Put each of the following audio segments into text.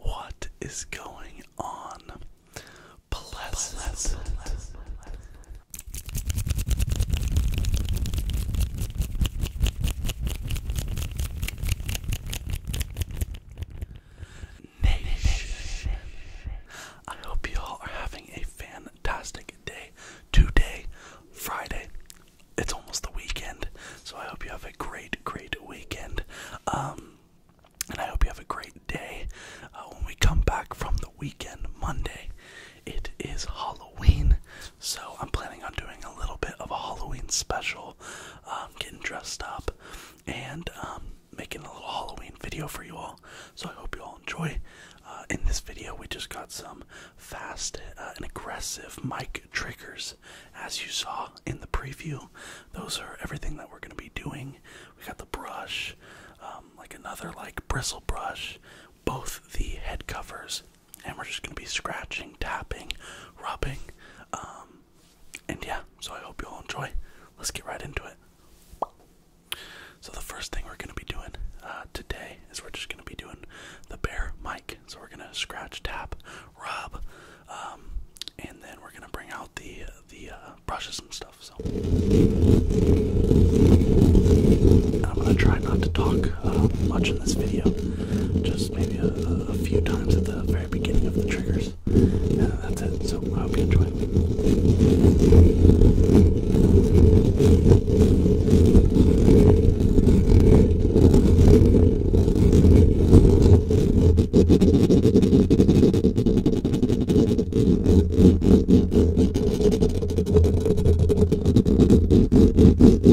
What is going on? Blessed. Nation. I hope you all are having a fantastic day today, Friday. It's almost the weekend, so I hope you have a great, great weekend. Um, and I hope you have a great day. Uh, when we come back from the weekend Monday, it is Halloween. Halloween, so I'm planning on doing a little bit of a Halloween special, um, getting dressed up, and um, making a little Halloween video for you all. So I hope you all enjoy. Uh, in this video, we just got some fast uh, and aggressive mic triggers, as you saw in the preview. Those are everything that we're going to be doing. We got the brush, um, like another like bristle brush, both the head covers and we're just gonna be scratching, tapping, rubbing, um, and yeah. So I hope you all enjoy. Let's get right into it. So the first thing we're gonna be doing uh, today is we're just gonna be doing the bare mic. So we're gonna scratch, tap, rub, um, and then we're gonna bring out the the uh, brushes and stuff. So. I'm gonna try not to talk Watching um, this video, just maybe a, few times at the very beginning of the triggers. Yeah, that's it. So I hope you enjoy.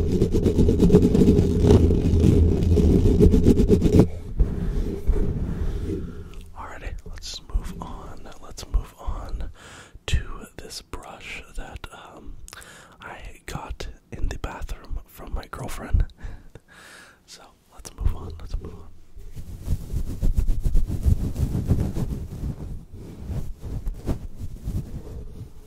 Alrighty, let's move on. Let's move on to this brush that um, I got in the bathroom from my girlfriend. so let's move on. Let's move on.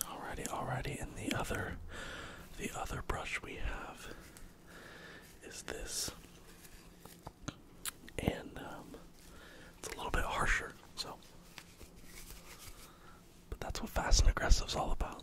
Alrighty, alrighty, and the other the other brush we have is this and um, it's a little bit harsher. So, but that's what fast and aggressive is all about.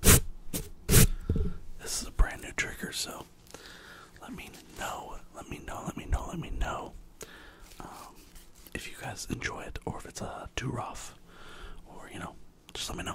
This is a brand new trigger, so let me know, let me know, let me know, let me know um, if you guys enjoy it or if it's uh, too rough, or you know, just let me know.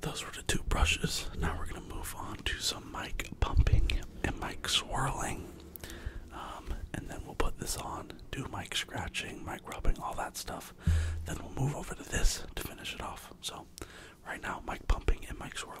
Those were the two brushes. Now we're going to move on to some mic pumping and mic swirling. Um, and then we'll put this on, do mic scratching, mic rubbing, all that stuff. Then we'll move over to this to finish it off. So, right now, mic pumping and mic swirling.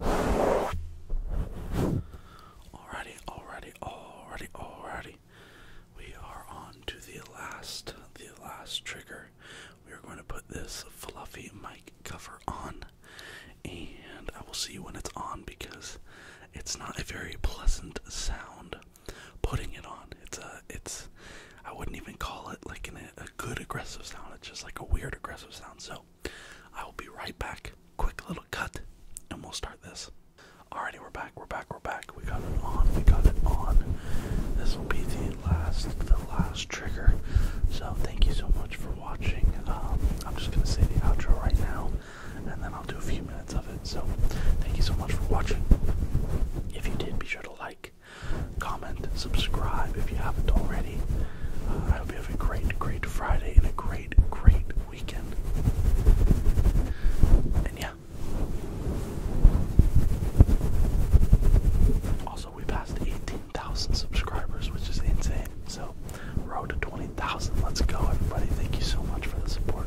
Alrighty, alrighty, alrighty, alrighty. We are on to the last, the last trigger. We are going to put this fluffy mic cover on, and I will see you when it's on because it's not a very pleasant sound putting it on. It's a, it's, I wouldn't even call it like a good aggressive sound. It's just like a weird aggressive sounds. So I will be right back. Quick little cut, and we'll start this. Alrighty, we're back. We're back. We're back. We got it on. We got it on. This will be the last, the last trigger. So thank you so much for watching. Um, I'm just gonna say the outro right now, and then I'll do a few minutes of it. So thank you so much for watching. If you did, be sure to like comment, subscribe if you haven't already. Uh, I hope you have a great, great Friday and a great, great weekend. And yeah. Also, we passed 18,000 subscribers, which is insane. So, road to 20,000. Let's go, everybody. Thank you so much for the support.